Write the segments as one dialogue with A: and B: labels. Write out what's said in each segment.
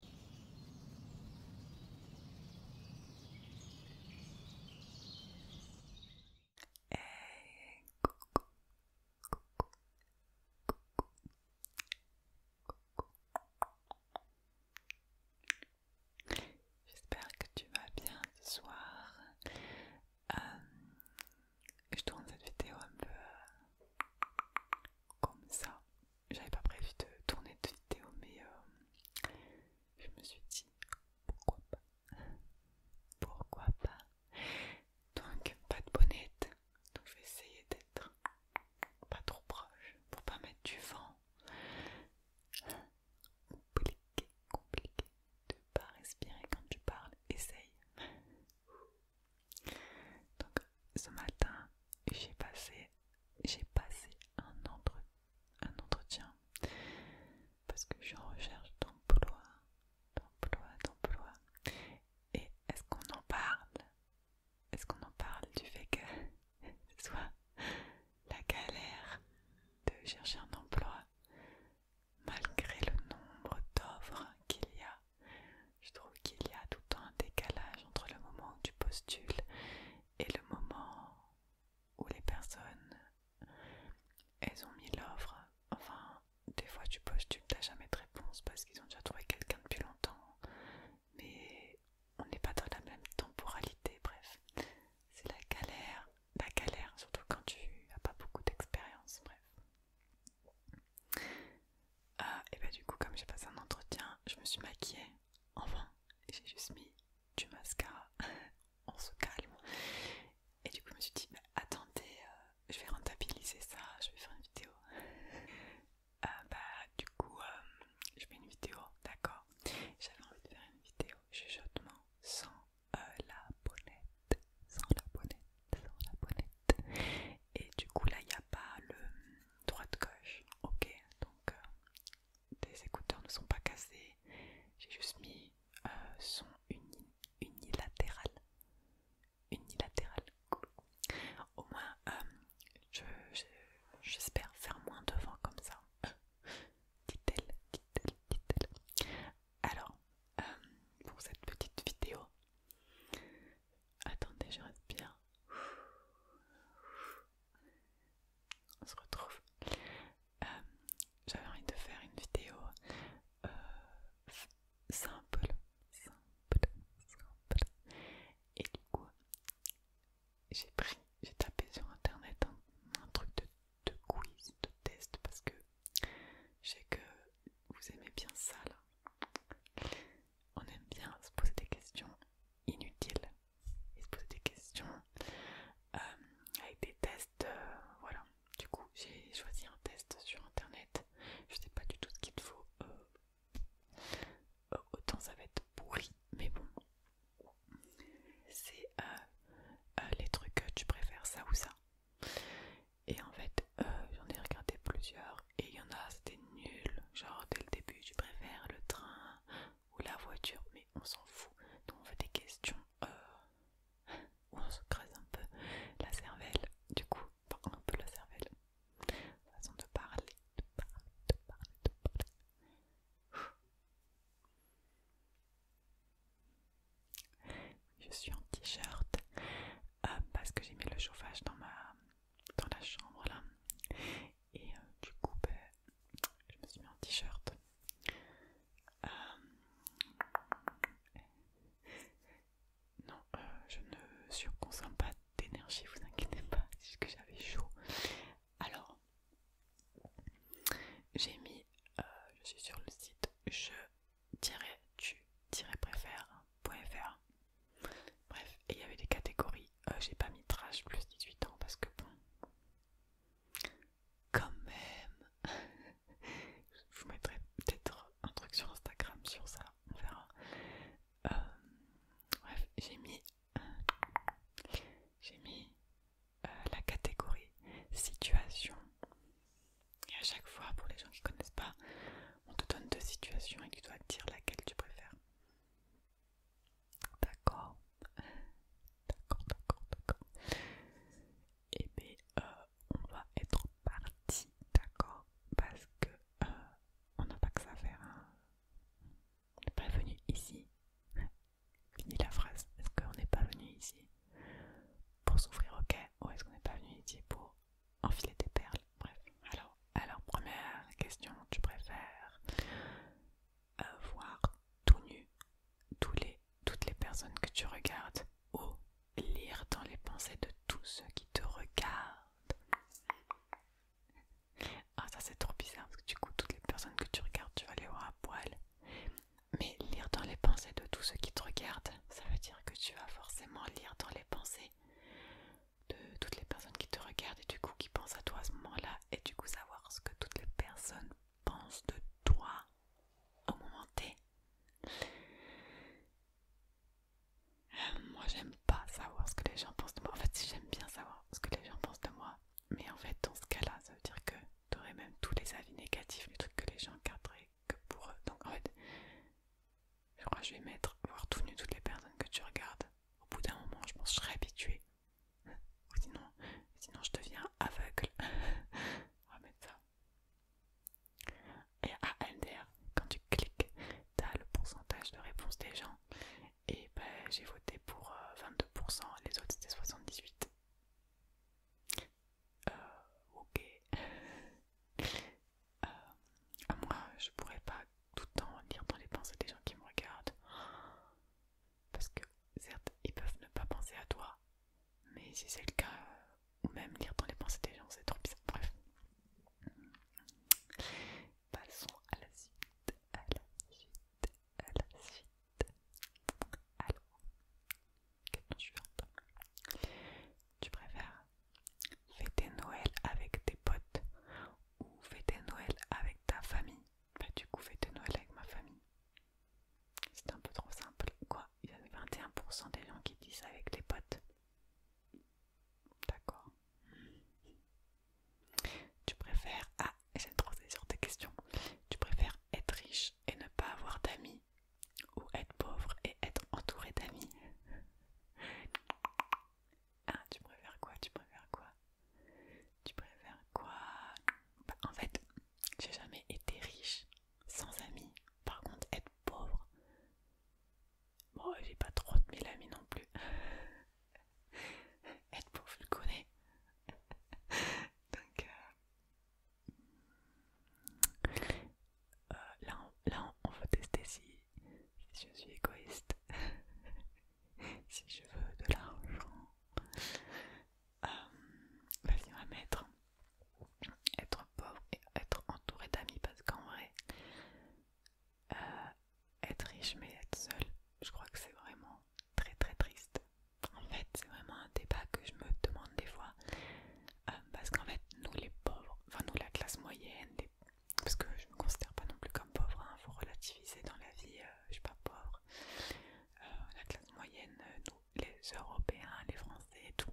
A: Hey, J'espère que tu vas bien ce soir. Euh, je tourne cette vidéo un peu euh, comme ça j'avais pas prévu de tourner de vidéo, mais euh, je me suis dit pourquoi pas, pourquoi pas. Donc pas de bonnette, donc je vais essayer d'être pas trop proche pour pas mettre du vent. Compliqué, compliqué de pas respirer quand tu parles. Essaye. Donc ce matin, j'ai passé j'ai passé un, entretien parce que je recherche d'emploi, d'emploi, d'emploi. Et est-ce qu'on en parle Est-ce qu'on en parle du fait que ce soit la galère de chercher un emploi malgré le nombre d'offres qu'il y a qu'il y a tout le temps un décalage entre le moment où tu postules et le moment où les personnes elles ont mis l'offre. Enfin, des fois tu postules, n'as jamais de réponse parce qu'ils ont déjà trouvé quelqu'un depuis longtemps. Mais on n'est pas dans la même temporalité, bref. C'est la galère, la galère, surtout quand tu n'as pas beaucoup d'expérience, bref. Ah, et bah du coup, comme j'ai passé un entretien, je me suis maquillée. Enfin, j'ai juste mis du mascara. On se calme. Et du coup, je me suis dit, bah, attendez, euh, je vais rentabiliser ça, je vais faire une vidéo. Euh, bah, du coup, euh, je fais une vidéo, d'accord J'avais envie de faire une vidéo chuchotement sans la bonnette. Sans la bonnette, sans la bonnette. Et du coup, là, il n'y a pas le droit de gauche ok donc euh, des écouteurs ne sont pas cassés. J'ai juste mis euh, son unilatéral. Unilatéral, cool. Au moins, euh, j'espère faire moins de vent comme ça. dit-elle, dit-elle, dit-elle. Alors, pour cette petite vidéo, Attendez, je respire. On se retrouve. Euh, j'avais envie de faire une vidéo euh, simple, Et du coup, j'ai pris, j'ai tapé sur internet un, truc de, de quiz, de test, parce que je sais que vous aimez bien ça là. On aime bien se poser des questions inutiles et se poser des questions euh, avec des tests. Euh, voilà, du coup, j'ai choisi un test sur internet. Je sais pas du tout ce qu'il faut, euh, autant ça va être pourri, mais bon, c'est les trucs que tu préfères ça ou ça. Et en fait, j'en ai regardé plusieurs et il y en a, c'était nul. Genre, dès le début, je préfère le train ou la voiture, mais on s'en fout. donc on fait des questions euh, où on se creuse un peu la cervelle, du coup, un peu la cervelle. Façon de parler, de parler, de parler, de parler. Je suis en t-shirt euh, parce que j'ai mis le chauffage dans ma dans la chambre là. Et euh, du coup, ben, je me suis mis en t-shirt. Euh, non, euh, je ne surconsomme pas d'énergie, vous inquiétez pas, c'est que j'avais chaud. Alors, j'ai mis, je suis sur le site je-tu-préfère.fr Bref, et il y avait des catégories. Euh, j'ai pas mis trash plus 18 ans parce que bon. Quand même. Je vous mettrai peut-être un truc sur Instagram sur ça, on verra. Euh, bref, j'ai mis. j'ai mis euh, la catégorie situation. Et à chaque fois, pour les gens qui connaissent pas, on te donne deux situations et tu dois dire laquelle tu préfères. D'accord. D'accord, d'accord, d'accord. Et eh bien, euh, on va être parti, d'accord Parce que euh, on n'a pas que ça à faire. Hein. on n'est pas venu ici. Fini la phrase. Est-ce qu'on n'est pas venu ici pour souffrir, ok Ou est-ce qu'on n'est pas venu ici pour enfiler des perles Bref, alors. Alors, première question, tu préfères euh, voir tout nu toutes les personnes que tu regardes ou lire dans les pensées de tous ceux qui te regardent Ah, ça c'est trop bizarre parce que du coup, toutes les personnes que tu regardes, tu vas les voir à poil. Mais lire dans les pensées de tous ceux qui te regardent, ça veut dire que tu vas forcément lire dans les pensées de toutes les personnes qui te regardent et du coup qui pensent à toi à ce moment-là et du coup savoir ce que toutes les personnes pensent de toi au moment T. moi j'aime pas savoir ce que les gens pensent de moi. En fait j'aime bien savoir ce que les gens pensent de moi, mais en fait dans ce cas-là ça veut dire que tu aurais même tous les avis négatifs, les truc que les gens garderaient que pour eux. Donc en fait je crois que je vais mettre voir tout nu toutes les personnes que tu regardes au bout d'un moment, je pense que je serai habituée. sinon, sinon je deviens aveugle. On va mettre ça. Et à LDR, quand tu cliques, tu as le pourcentage de réponse des gens. Et ben, j'ai voté pour 22%, euh, les autres c'était 78%. Euh, ok. Euh, moi, je pourrais pas tout le temps lire dans les pensées des gens qui me regardent. Parce que certes, ils peuvent ne pas penser à toi, mais si c'est le cas, ou même lire dans les pensées des gens, c'est trop bizarre. Bref. Passons à la suite, à la suite, à la suite. Alors, question suivante. Tu préfères fêter Noël avec tes potes ou fêter Noël avec ta famille bah, du coup, fais de Noël avec ma famille. C'est un peu trop simple. Quoi Il y a 21% des gens qui disent avec les potes. D'accord. Tu préfères. Ah, j'ai trop ces sur tes questions. Tu préfères être riche et ne pas avoir d'amis ou être pauvre et être entouré d'amis ah, tu préfères quoi Tu préfères quoi Tu préfères quoi bah, En fait, j'ai jamais été riche, sans amis. Par contre, être pauvre, bon, j'ai pas trop de mille amis non plus. être pauvre, je le connais. Donc, euh, euh, là, on, là, on, tester si je suis égoïste. si je veux de l'argent, euh, vas-y, être pauvre et être entouré d'amis parce qu'en vrai, euh, être riche mais être seul, je crois que c'est vraiment très très triste. En fait, c'est vraiment un débat que je me demande des fois euh, parce qu'en fait, nous les pauvres, enfin nous la classe moyenne, parce que je me considère pas non plus comme pauvre, il hein. faut relativiser dans la vie, euh, je suis pas pauvre. Euh, la classe moyenne, euh, nous, les Européens, les Français et tout.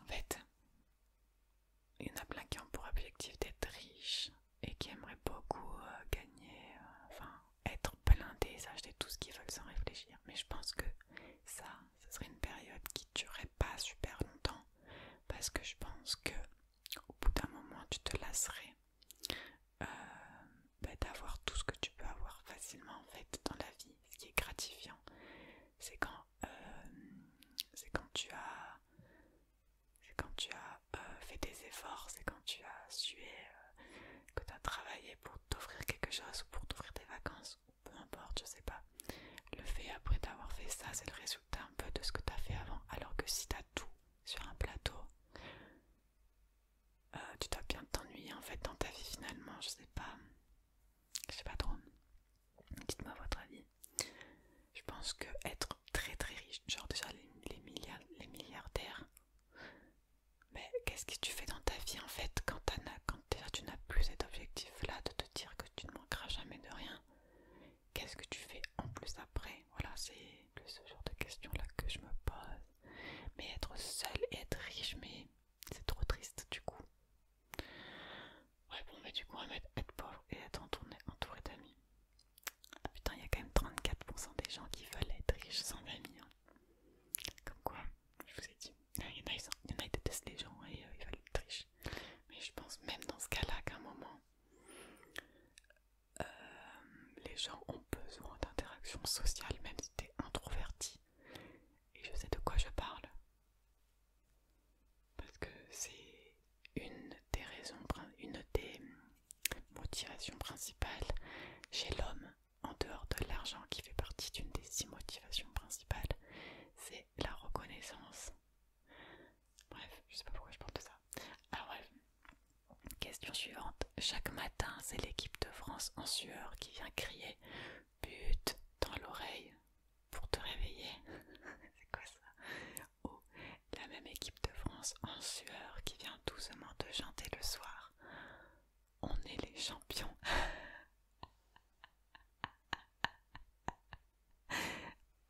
A: en fait, il y en a plein qui ont pour objectif d'être riches et qui aimeraient beaucoup gagner, enfin être blindés, acheter tout ce qu'ils veulent sans réfléchir. Mais je pense que ça, ce serait une période qui durerait pas super longtemps parce que je pense que au bout d'un moment tu te lasserais euh, bah, d'avoir tout ce que tu peux avoir facilement en fait dans la vie. Ce qui est gratifiant, c'est quand, euh, quand tu as, quand tu as euh, fait des efforts, c'est quand tu as sué, que tu as travaillé pour t'offrir quelque chose ou pour t'offrir des vacances ou peu importe, je sais pas. Le fait après d'avoir fait ça, c'est le résultat un peu de ce que tu as fait avant, alors que si tu as tout sur un plateau, euh, tu dois bien t'ennuyer en fait dans ta vie finalement, je sais pas, je sais pas trop. Dites-moi votre avis. Je pense que être très très riche, genre déjà les, les milliardaires, mais qu'est-ce que tu fais dans ta vie en fait quand, quand tu n'as plus cet objectif là de te dire que tu ne manqueras jamais de rien qu'est-ce que tu fais en plus après Voilà, c'est ce genre de questions-là que je me pose. Mais être seul et être riche, mais c'est trop triste du coup. Ouais, bon, mais du coup, on va être pauvre et être entouré d'amis. Ah putain, il y a quand même 34% des gens qui veulent être riches sans amis. Hein. Comme quoi, je vous ai dit, il y en a, ils, détestent les gens et euh, ils veulent être riches. Mais je pense même dans ce cas-là qu'à un moment, euh, les gens ont besoin d'interactions sociales même si tu es introverti. Et je sais de quoi je parle. Parce que c'est une des raisons, une des motivations principales chez l'homme, en dehors de l'argent qui fait partie d'une des six motivations principales, c'est la reconnaissance. Bref, je sais pas pourquoi je parle de ça. Alors bref, question suivante. Chaque matin, c'est l'équipe de France en sueur qui vient crier but dans l'oreille pour te réveiller. c'est quoi ça Ou la même équipe de France en sueur qui vient doucement te chanter le soir. On est les champions.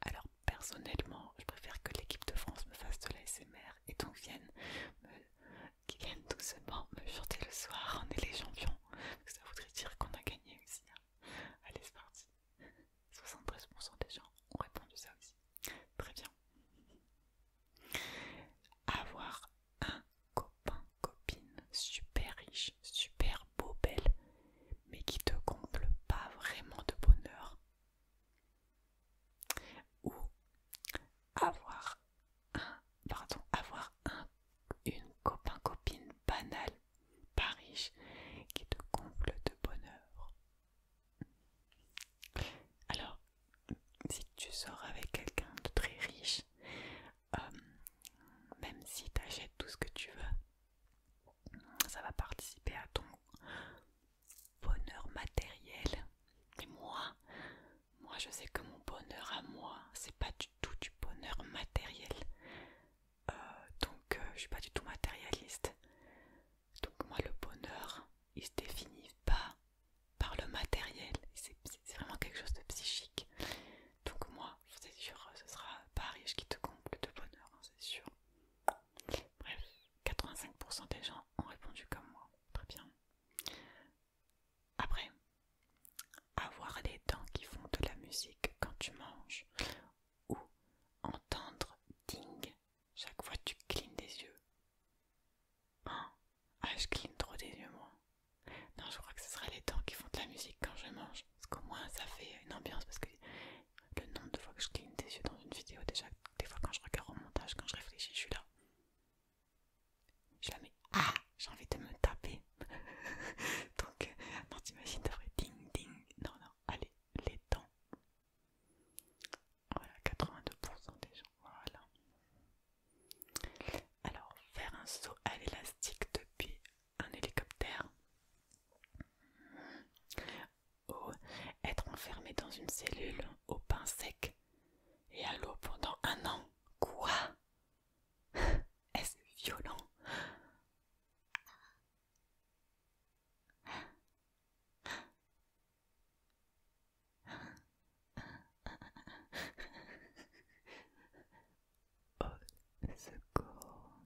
A: Alors personnellement, je préfère que l'équipe de France me fasse de l'ASMR et donc vienne, me, qui vienne doucement me chanter le soir, en est les champions. Ça voudrait dire qu'on a gagné aussi. Hein. Allez, c'est parti. 73% des gens ont répondu ça aussi. Très bien. Avoir un copain, copine, super riche, super beau, belle, mais qui te comble pas vraiment de bonheur. Ou avoir un, pardon, avoir un, une copain-copine banale, pas riche, qui te comble de bonheur. Alors, si tu sors avec quelqu'un de très riche, euh, même si tu tout ce que tu veux, ça va participer à ton bonheur matériel. Et moi, moi je sais que mon bonheur à moi, c'est pas du tout du bonheur matériel. Euh, donc euh, je suis pas du tout matérialiste. Donc moi le bonheur, il se définit pas par le matériel. C'est vraiment quelque chose de psychique. Donc moi, je c'est sûr, ce sera Paris qui te comble de bonheur, hein, c'est sûr. Bref, 85% des gens ont répondu comme moi. Très bien. Après, avoir les dents qui font de la musique quand tu manges ou entendre ding chaque fois que tu clignes des yeux. Hein? ah, je cligne trop des yeux, moi. Non, je crois que ce sera les dents qui font de la musique quand je mange. Parce qu'au moins, ça fait une ambiance. Parce que le nombre de fois que je cligne des yeux dans une vidéo, déjà, des fois quand je regarde au montage, quand je réfléchis, je suis là. Je la mets. Ah J'ai envie de me taper. Donc, euh, non, t'imagines, d'après, ding ding. Non, non, allez, les temps. Voilà, 82% des gens. Voilà. Alors, faire un saut à l'élastique depuis un hélicoptère être enfermé dans une cellule au pain sec et à l'eau pendant un an. Quoi Est-ce violent Au oh, secours,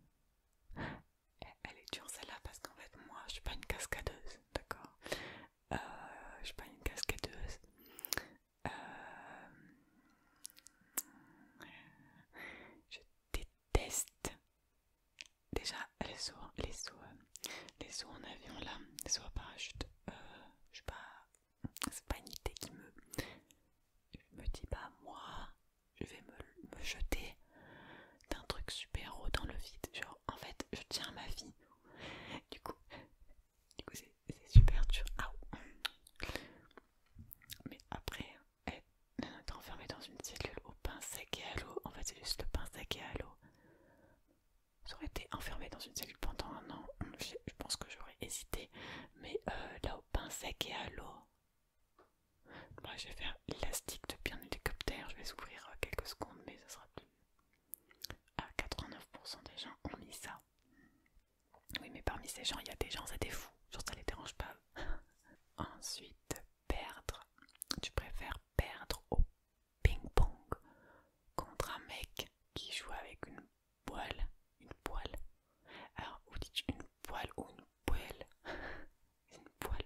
A: elle est dure celle-là parce qu'en fait moi je suis pas une cascadeuse, d'accord euh, Je suis pas une cascadeuse. Euh, je déteste déjà les sauts, les euh, les en avion là, les sauts à parachute. je sais pas, c'est pas une idée qui me, je me dis pas bah, moi je vais me, jeter d'un truc super haut dans le vide. Genre, en fait, je tiens ma vie. Du coup, c'est super dur. Ah mais après, être eh, enfermé dans une cellule au pain sec et à l'eau, en fait, c'est juste le pain sec et à l'eau. J'aurais été enfermée dans une cellule pendant un an, je, pense que j'aurais hésité, mais euh, là au pain sec et à l'eau, moi je vais faire l'élastique depuis un hélicoptère, je vais s'ouvrir euh, quelques secondes mais ça sera plus. À 89% des gens ont mis ça. Oui mais parmi ces gens, il y a des gens, c'était des genre ça les dérange pas. Ensuite, perdre. Tu préfères perdre au ping-pong contre un mec qui joue avec une poêle. Une poêle. Alors, où dis dites une poêle ou une poêle une poêle.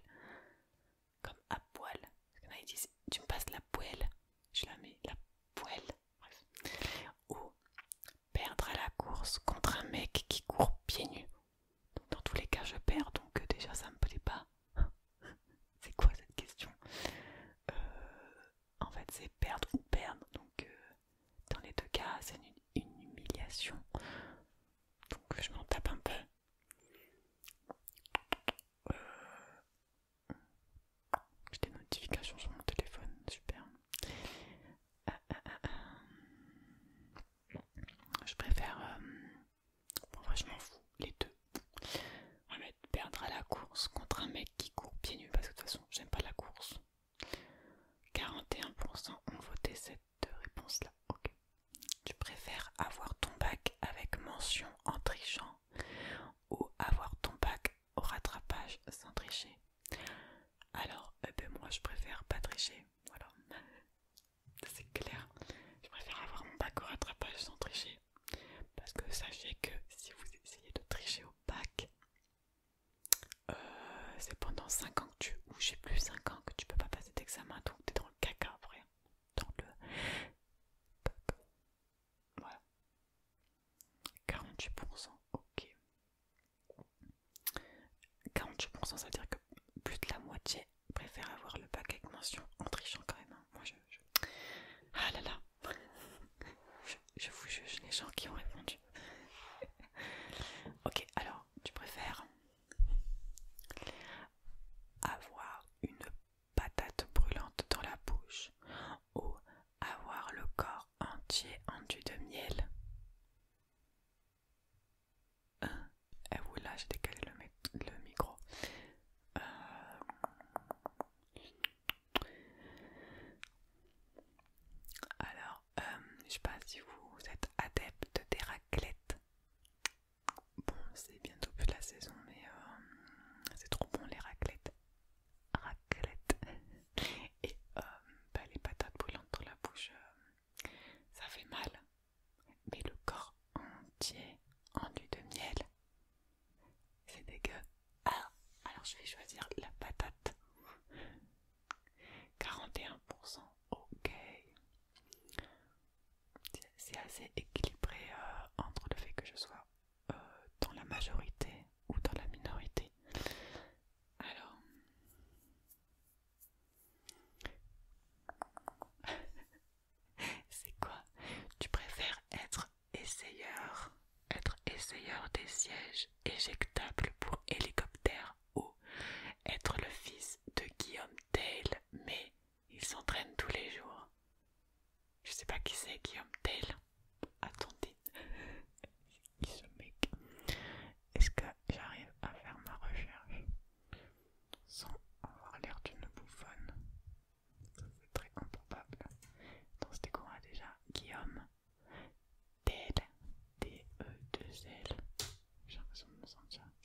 A: Comme à poêle. a, disent Tu me passes la poêle. Je la mets, la poêle. Ou perdre à la course contre un mec qui court pieds nus. dans tous les cas, je perds, donc euh, déjà ça me plaît pas. c'est quoi cette question euh, En fait, c'est perdre ou perdre. Donc, euh, dans les deux cas, c'est une humiliation. Donc, je m'en tape un peu. Euh, J'ai des notifications sur mon téléphone, super. Euh, euh, je préfère... je m'en fous, les deux. On va perdre à la course contre un mec qui court pieds nus parce que de toute façon, j'aime pas la course. 41% ont voté 7 de réponse-là. Ok. Tu préfères avoir ton bac avec mention en trichant ou avoir ton bac au rattrapage sans tricher Alors, eh ben moi je préfère pas tricher. Voilà. C'est clair. Je préfère avoir mon bac au rattrapage sans tricher. Parce que sachez que si vous essayez de tricher au bac, euh, c'est pendant 5 ans que tu, ou j'ai plus 5 ans que tu peux pas passer d'examen, donc t'es dans caca après. Dans le Voilà. 48%, ok. 48%, ça veut dire que plus de la moitié préfère avoir le pack avec mention en trichant quand même. Hein. Moi je, Ah là là je vous juge les gens qui ont répondu. ok, alors tu préfères avoir une patate brûlante dans la bouche ou avoir le corps entier enduit de miel. et vous là, j'ai décalé le, micro. Euh, alors, euh, je sais pas si vous êtes adepte des raclettes. Bon, c'est bientôt plus la saison, mais euh, c'est trop bon les raclettes. Raclettes. Et euh, bah, les patates brûlantes dans la bouche, euh, ça fait mal. Mais le corps entier enduit de miel, c'est dégueu. Ah, alors je vais choisir la patate. 41%, ok c'est assez équilibré euh, entre le fait que je sois euh, dans la majorité ou dans la minorité. Alors, c'est quoi Tu préfères être essayeur, être essayeur des sièges éjectables pour hélicoptère ou être le fils de Guillaume Tell, mais il s'entraîne tous les jours. Je sais pas qui c'est Guillaume Tell. Attendez. qui ce mec Est-ce que j'arrive à faire ma recherche sans avoir l'air d'une bouffonne C'est très improbable. Donc c'était quoi déjà Guillaume Tell. d e l j'ai l'impression de me sentir lui.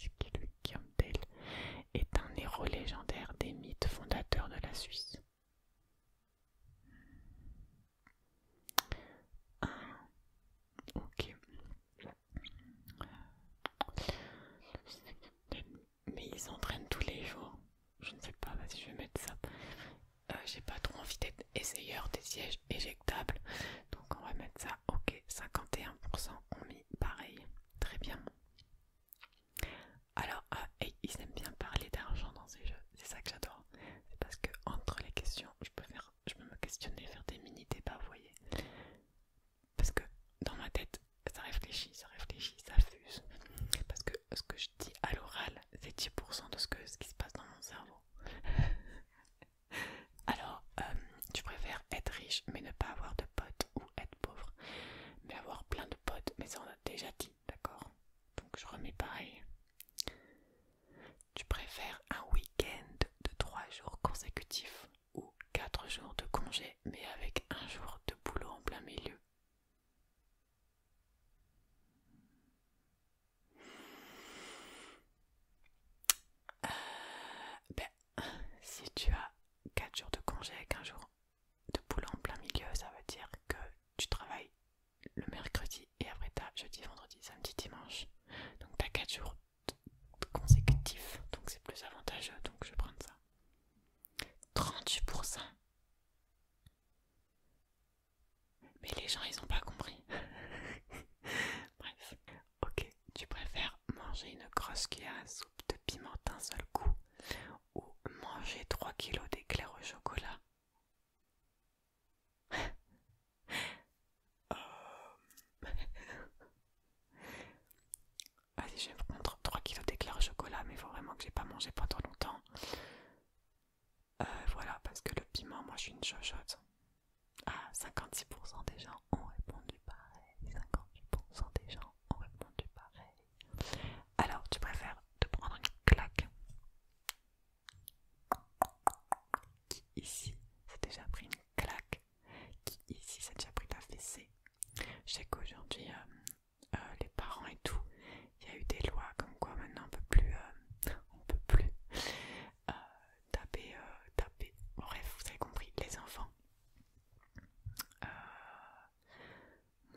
A: est un héros légendaire des mythes fondateurs de la Suisse. Hmm. ok. Mais ils entraînent tous les jours. Je ne sais pas, si je vais mettre ça. Euh, j'ai pas trop envie d'être essayeur des sièges éjectables. Donc on va mettre ça ok, 51% ont mis pareil. Très bien. Alors, ah, ils aiment bien parler d'argent dans ces jeux. C'est ça que j'adore. parce que entre les questions, je peux, me questionner, faire des mini-débats, vous voyez. Parce que dans ma tête, ça réfléchit, ça réfléchit, ça fuse. Parce que ce que je dis à l'oral, c'est 10% de ce, que, ce qui se passe dans mon cerveau. Alors, euh, tu préfères être riche mais ne pas avoir de potes ou être pauvre, mais avoir plein de potes, mais ça on a déjà dit, d'accord Donc je remets pareil. Tu préfères un week-end de trois jours consécutifs ou quatre jours de congé, mais avec un jour de boulot en plein milieu euh, ben, si tu as 4 jours de congé avec un jour de boulot en plein milieu, ça veut dire que tu travailles le mercredi et après t'as jeudi, vendredi, samedi, dimanche. Donc t'as 4 jours consécutifs, donc c'est plus avantageux, donc je vais prendre ça. 38% Mais les gens ils ont pas compris. Bref. Ok, tu préfères manger une grosse cuillère à soupe de piment d'un seul coup ou manger 3 kg d'éclairs au chocolat euh. Vas-y, je vais prendre 3 kilos d'éclairs au chocolat, mais il faut vraiment que j'ai pas mangé pendant longtemps. Euh, voilà, parce que le piment, moi je suis une chochotte. Ah, 56% des gens ont répondu pareil. 58% des gens ont répondu pareil. Alors, tu préfères te prendre une claque Qui ici s'est déjà pris une claque Qui ici s'est déjà pris ta fessée Je sais qu'aujourd'hui, euh, euh, les parents et tout, il y a eu des lois comme quoi maintenant on peut plus, euh, peut plus taper, taper. vous avez compris, les enfants. Euh,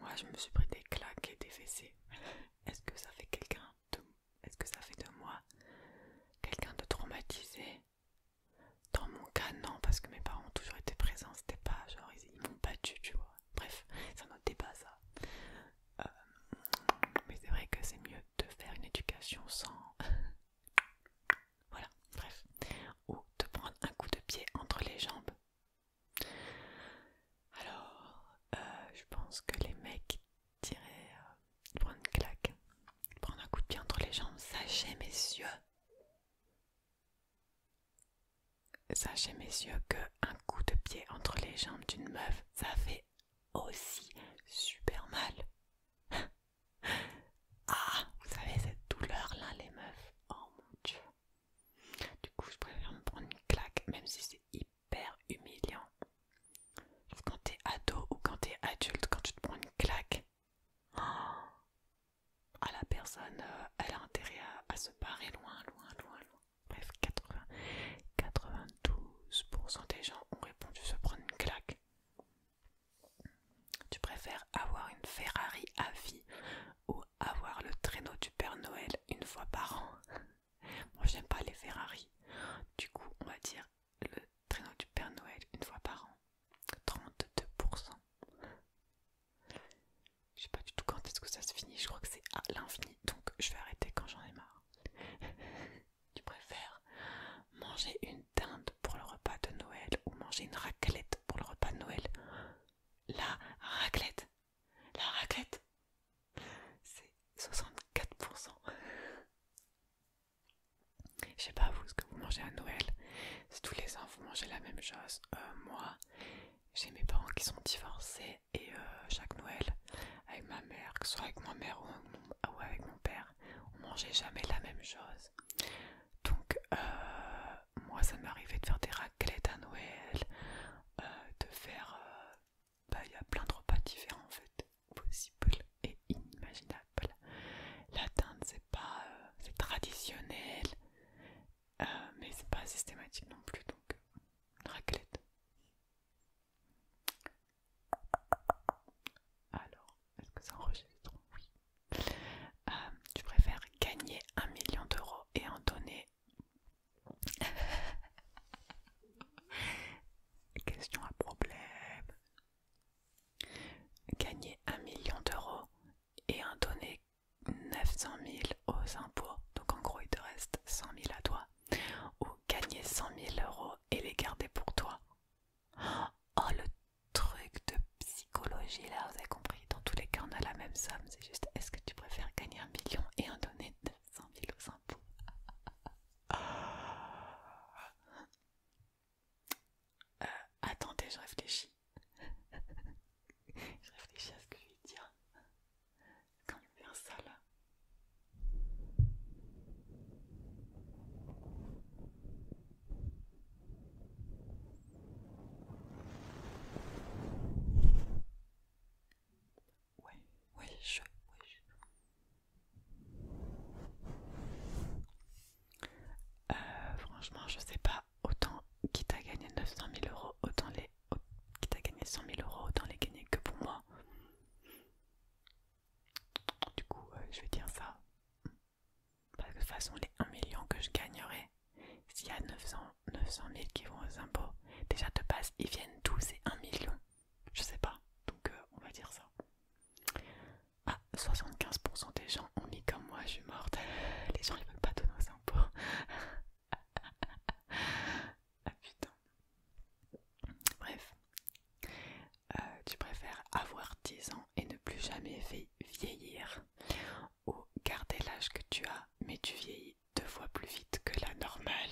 A: moi, je me suis pris des claques et des fessées. Est-ce que ça fait quelqu'un de... Est-ce que ça fait de moi quelqu'un de traumatisé Dans mon cas, non, parce que mes parents ont toujours été présents. C'était pas genre ils, m'ont battu, tu vois. Bref, ça un autre ça. Euh, mais c'est vrai que c'est mieux de faire une éducation sans voilà, bref. Ou te prendre un coup de pied entre les jambes. Alors, euh, je pense que les mecs diraient euh, prendre une claque, prendre un coup de pied entre les jambes. Sachez, messieurs, sachez, messieurs, qu'un coup de pied entre les jambes d'une meuf, ça fait aussi super mal. Ah, vous savez, cette douleur-là, les meufs. Oh mon dieu. Du coup, je préfère me prendre une claque, même si c'est hyper humiliant. quand quand t'es ado ou quand t'es adulte, quand tu te prends une claque, oh, à la personne, euh, elle a intérêt à, se barrer loin, loin, loin, loin. Bref, 92% des gens ont répondu se prendre une claque. Tu préfères avoir une Ferrari à vie ou avoir le traîneau du Père Noël une fois par an Moi j'aime pas les Ferrari. Du coup on va dire le traîneau du Père Noël une fois par an. 32%. Je sais pas du tout quand est-ce que ça se finit, je crois que c'est à l'infini, donc je vais arrêter quand j'en ai marre. tu préfères manger une pour le repas de Noël ou manger une raclette pour le repas de Noël. La raclette La raclette C'est 64%. Je sais pas vous ce que vous mangez à Noël. c'est tous les ans vous mangez la même chose, euh, moi j'ai mes parents qui sont divorcés et euh, chaque Noël avec ma mère, que ce soit avec ma mère ou avec mon, ou avec mon père, on mangeait jamais la même chose. Donc, euh, moi, ça m'est arrivé de faire des raclettes à Noël, euh, de faire. Euh, bah, il y a plein de repas différents en fait, possibles et inimaginables. La teinte c'est pas. traditionnel, mais c'est pas systématique non plus. Donc, raclette. Alors, est-ce que ça enregistre Oui. Euh, tu préfères gagner un million d'euros et en donner Question à problème. Gagner un million d'euros et en donner 900 000 aux impôts, donc en gros il te reste 100 000 à toi, ou gagner 100 000 euros et les garder pour toi. Oh, le truc de psychologie là, vous avez compris. Dans tous les cas, on a la même somme. C'est juste, est-ce que tu préfères gagner un million et en donner 900 000 aux impôts euh, Attendez, je réfléchis. je réfléchis à ce que je vais dire. Quand je ça là. Ouais, ouais, je, je. Euh, franchement, je sais pas. Autant qui t'a gagné 900 000 euros, autant les. qui t'a gagné 100 000 euros, autant les gagner que pour moi. Du coup, je vais dire ça. Parce que de toute façon, les 1 million que je gagnerais, s'il y a 900, 900 000 qui vont aux impôts, déjà de base, ils viennent d'où ces 1 million Je sais pas, donc euh, on va dire ça. Ah, 75% des gens ont mis comme moi, je suis morte. Les gens, ils veulent pas donner aux impôts. ah putain. Bref. Euh, tu préfères avoir 10 ans et ne plus jamais vieillir ou garder l'âge que tu as mais tu vieillis deux fois plus vite que la normale.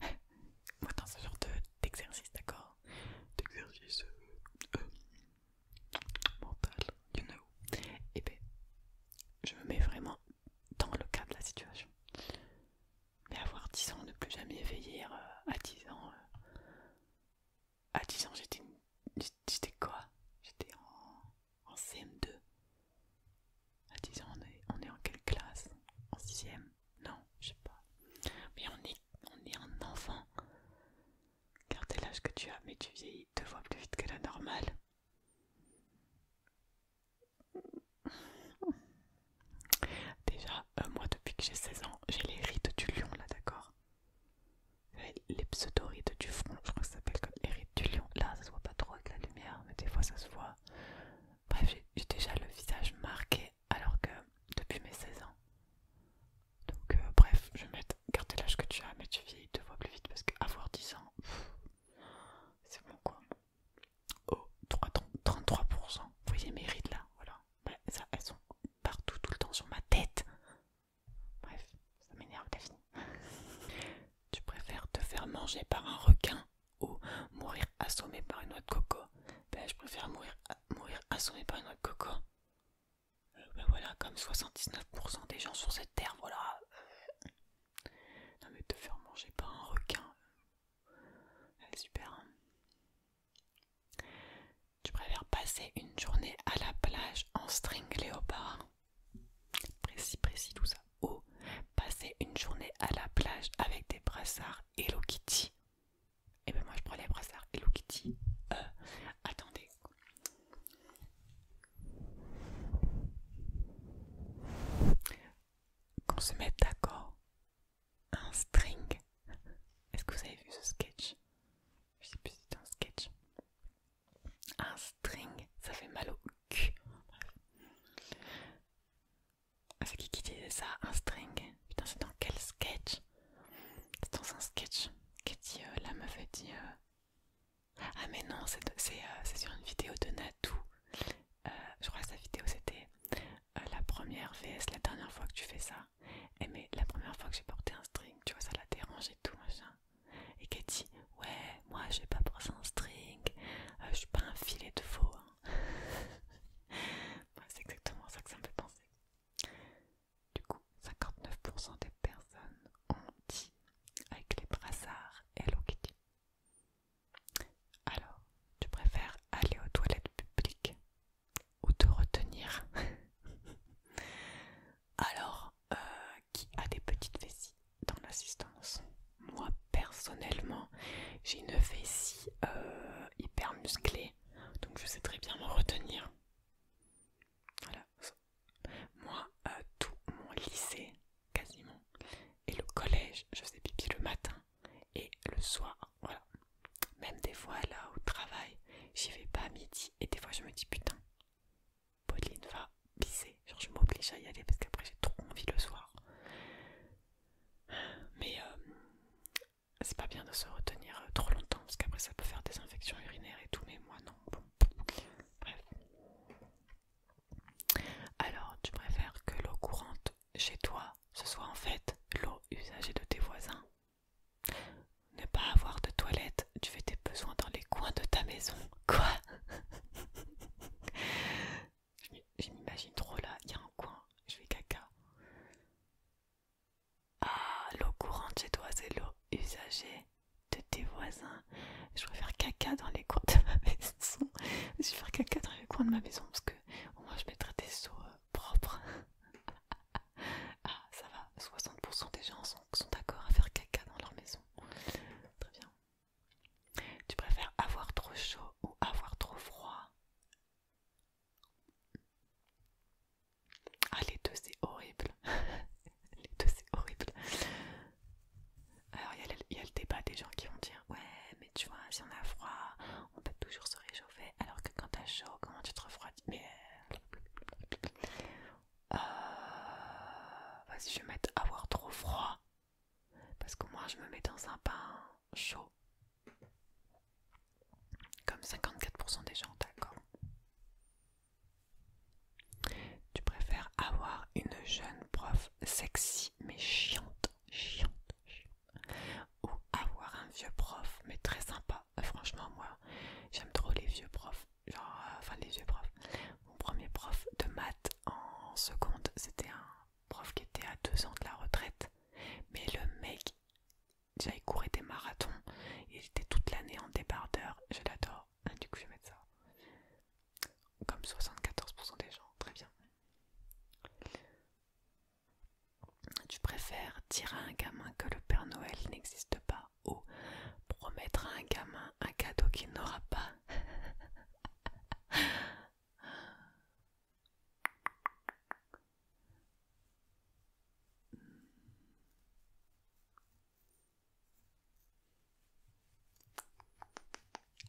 A: Moi dans ce genre d'exercice, d'accord D'exercice euh, euh, mental, you know. Et ben, je me mets vraiment dans le cadre de la situation. Mais avoir 10 ans, ne plus jamais vieillir euh, à 10 ans. Euh, à 10 ans, j'étais j'étais quoi J'étais en, CM2. À 10 ans, on est, on est en quelle classe En 6ème Non, je sais pas. Mais on est, on est un enfant. Gardez l'âge que tu as, mais tu vieillis deux fois plus vite que la normale. Déjà, euh, moi depuis que j'ai 16 ans, j'ai les rides du lion là, d'accord Les pseudo-rides du front, je crois que ça s'appelle comme les rides du lion. Là, ça se voit pas trop avec la lumière, mais des fois ça se voit. Bref, j'ai déjà le visage marqué alors que depuis mes 16 ans. Donc, euh, bref, je vais mettre l'âge que tu as, mais tu vis deux fois plus vite parce qu'avoir 10 ans, c'est bon quoi oh, 33%. Vous voyez mes rides là, voilà. Bah, ça, elles sont partout, tout le temps sur ma tête. Bref, ça m'énerve, Daphne. tu préfères te faire manger par un requin ou mourir assommé par une noix de coco Ben, je préfère mourir, assommé par une noix de coco. Euh, ben voilà, comme 79% des gens sur cette terre, voilà. Euh, non mais te faire manger par un requin, euh, super. Hein. Tu préfères passer une journée à la plage en string léopard Précis, précis tout ça. Ou passer une journée à la plage avec des brassards Hello Kitty Et eh ben moi je prends les brassards Hello Kitty. Euh, attendez. Qu'on se mette d'accord un string. Est-ce que vous avez vu ce sketch Je sais plus si c'est un sketch. Un string, ça fait mal au cul. Ah, c'est qui qui dit ça Un string Putain, c'est dans quel sketch C'est dans un sketch que dit euh, la meuf, fait dit. Euh, ah mais non, euh, c'est sur une vidéo de Natou. je crois que sa vidéo c'était euh, la première VS, la dernière fois que tu fais ça, et eh, mais la première fois que j'ai porté un string, tu vois, ça la dérange et tout, machin. Et Katie ouais, moi je vais pas porter un string, euh, je suis pas un filet de faux. Hein. C'est exactement ça que ça me fait penser. Du coup, 59% des personnes ont dit avec les brassards Hello Kitty. Alors, tu préfères aller aux toilettes publiques ou te retenir. Alors, euh, qui a des petites vessies dans l'assistance Moi, personnellement, j'ai une vessie euh, hyper musclée, donc je sais très bien me retenir. Voilà. Moi, euh, tout mon lycée, quasiment, et le collège, je fais pipi le matin et le soir, voilà. Même des fois là au travail, j'y vais pas à midi et des fois je me dis putain, Pauline va pisser, genre je m'oblige à y aller parce qu'après j'ai trop envie le soir. Mais euh, c'est pas bien de se retenir euh, trop longtemps parce qu'après ça peut faire des infections urinaires et tout, mais moi non, bref. Alors, tu préfères que l'eau courante chez toi, ce soit en fait l'eau usagée de tes voisins. Ne pas avoir de toilette, tu fais tes besoins dans les coins de ta maison. Quoi Je m'imagine trop là, il y a un coin, je fais caca. Ah, l'eau courante chez toi, c'est l'eau usagée de tes voisins. Je vais faire caca dans les coins de ma maison. Je vais faire caca dans les coins de ma maison parce que moi, je mettrai des seaux. Euh, propre. ah, ça va, 60% des gens sont, sont d'accord à faire caca dans leur maison. Très bien. Tu préfères avoir trop chaud ou avoir trop froid Ah, les deux, c'est horrible. les deux, c'est horrible. Alors, il y a le débat des gens qui vont dire Ouais, mais tu vois, si on a froid, on peut toujours se réchauffer alors que quand t'as chaud, comment tu te refroidis Mais. Euh, vas-y, je vais mettre avoir trop froid. Parce que moi, je me mets dans un pain chaud. Comme 54% des gens, d'accord. Tu préfères avoir une jeune prof sexy mais chiante chiante, Ou avoir un vieux prof, mais très sympa. Euh, franchement, moi, j'aime trop les vieux profs. Genre, euh, enfin, les vieux profs. Mon premier prof de maths en seconde, c'était un prof qui était à deux ans de la retraite. Mais le mec, déjà, il des marathons. Il était toute l'année en débardeur. Je l'adore. Ah, du coup, je vais mettre ça. Comme 74% des gens, très bien. Tu préfères dire à un gamin que le Père Noël n'existe pas ou promettre à un gamin un cadeau qu'il n'aura pas.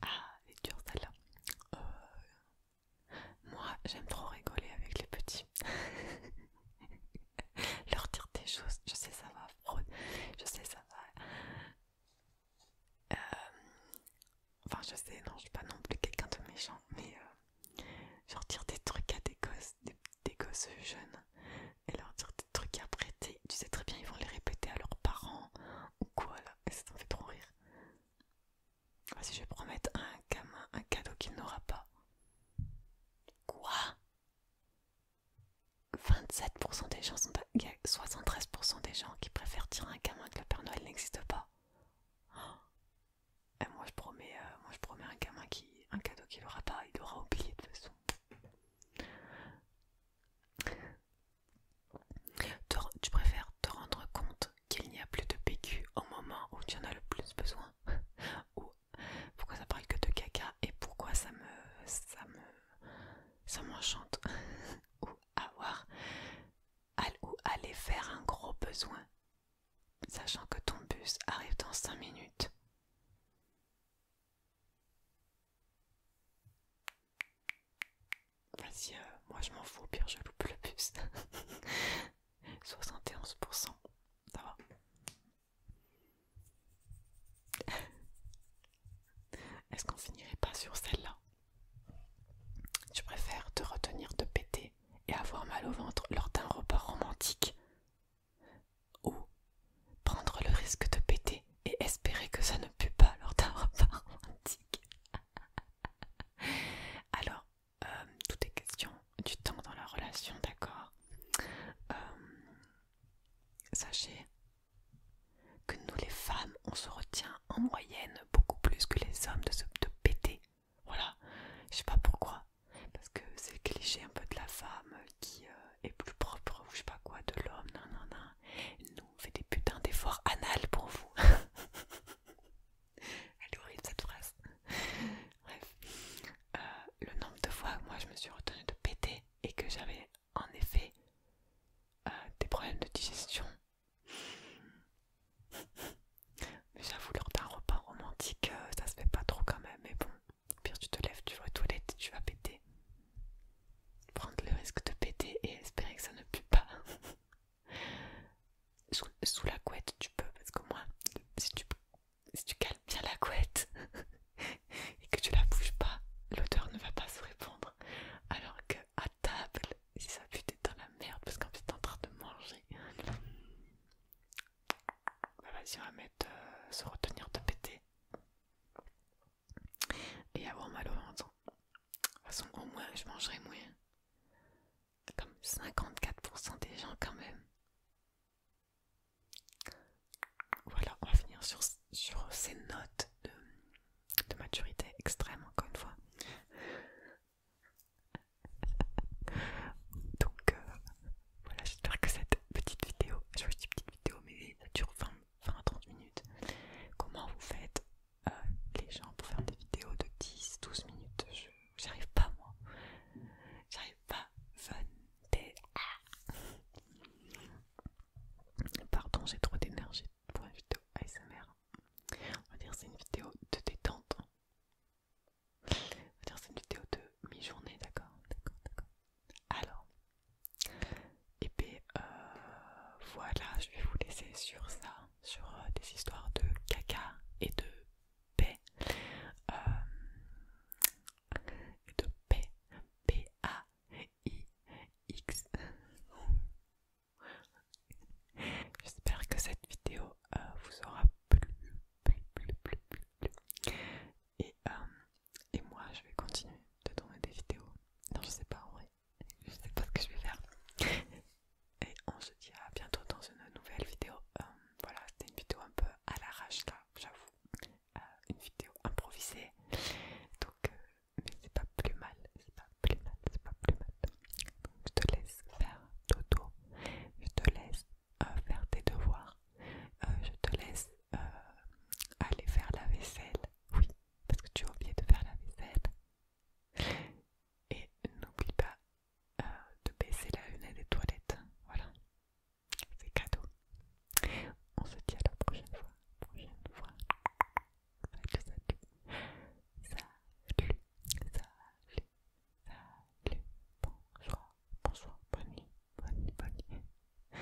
A: Ah, elle dur celle-là. Euh, moi, j'aime trop rigoler avec les petits. Leur dire des choses, je sais ça va, je sais ça va. Euh, enfin, je sais, non, je suis pas non plus quelqu'un de méchant, mais euh, leur dire des trucs à des gosses, des, gosses jeunes, et leur dire des trucs à prêter. Tu sais très bien, ils vont les répéter à leurs parents ou quoi là, ça t'en fait trop rire. Ah, si je vais promettre un gamin un cadeau qu'il n'aura pas. Quoi 27% des gens sont... Il y a 73% des gens qui préfèrent tirer un gamin que le Père Noël n'existe pas. Oh. moi je promets, euh, je promets un gamin qui, un cadeau qu'il n'aura pas, il aura oublié de toute façon. tu préfères te rendre compte qu'il n'y a plus de PQ au moment où tu en as le plus besoin Ou pourquoi ça parle que de caca et pourquoi ça me... ça me... m'enchante Ou avoir... ou aller faire un gros besoin sachant que ton bus arrive dans 5 minutes Vas-y, euh, moi je m'en fous, au pire je loupe le bus 71%. Ça va Est-ce qu'on finirait pas sur celle-là Tu préfères te retenir de péter et avoir mal au ventre lors d'un repas romantique ou prendre le risque de péter et espérer que ça ne pue pas lors d'un repas romantique Alors, euh, tout est question du temps dans la relation, d'accord euh, Sachez que nous les femmes, on se retient en moyenne beaucoup plus que les hommes de se péter. Voilà, je sais pas pourquoi, parce que c'est cliché un peu de la femme qui euh, est plus propre ou je sais pas quoi de l'homme, non non. non. Nous on fait des putains d'efforts anal pour vous. Elle est horrible cette phrase. Bref, euh, le nombre de fois moi je me suis retenue de péter et que j'avais en effet euh, des problèmes de digestion. Mais j'avoue, lors d'un repas romantique, euh, ça se fait pas trop quand même. Mais bon, pire, tu te lèves, tu vas aux toilettes, tu vas péter. Prendre le risque de péter et espérer que ça ne pue pas sous, la couette tu peux parce que moins si tu, si calmes bien la couette et que tu la bouges pas l'odeur ne va pas se répandre alors que à table si ça pue t'es dans la merde parce qu'en fait t'es en train de manger bah vas-y on va mettre euh, se retenir de péter et avoir mal au ventre de toute façon au moins je mangerai moins comme 54% des gens quand même. Voilà, on va finir sur, sur ces notes de, maturité extrême encore une fois. Donc euh, voilà, j'espère que cette petite vidéo, je dis petite vidéo mais ça dure 20 à 30 minutes. Comment vous faites euh, les gens pour faire des vidéos de 10-12 minutes je, J'arrive pas, moi. J'arrive pas. Pardon, j'ai trop d'énergie pour une vidéo ASMR. On va dire c'est une vidéo de détente. On va dire c'est une vidéo de mi-journée, d'accord D'accord, d'accord. Alors, et eh bien euh, voilà, je vais vous laisser sur ça, sur euh, des histoires de caca et de euh, de P p a i x J'espère que cette vidéo euh, vous aura plu, Et, euh, et moi je vais continuer de tourner des vidéos. Non, je sais pas en vrai, je sais pas ce que je vais faire et on se dit à bientôt dans une nouvelle vidéo. Euh, voilà, c'était une vidéo un peu à l'arrache là, j'avoue. Euh, une vidéo improvisée. Donc, euh, mais c'est pas plus mal, c'est pas plus mal, c'est pas plus mal. je te laisse faire Toto je te laisse faire tes devoirs, je te laisse aller faire la vaisselle. Oui, parce que tu as oublié de faire la vaisselle. Et n'oublie pas euh, de baisser la lunette des toilettes. Voilà, c'est cadeau. On se dit à la prochaine fois. Prochaine fois. Salut, salut. Salut, salut, salut. Bonsoir, bonsoir, bonne nuit, bonne nuit, bonne nuit.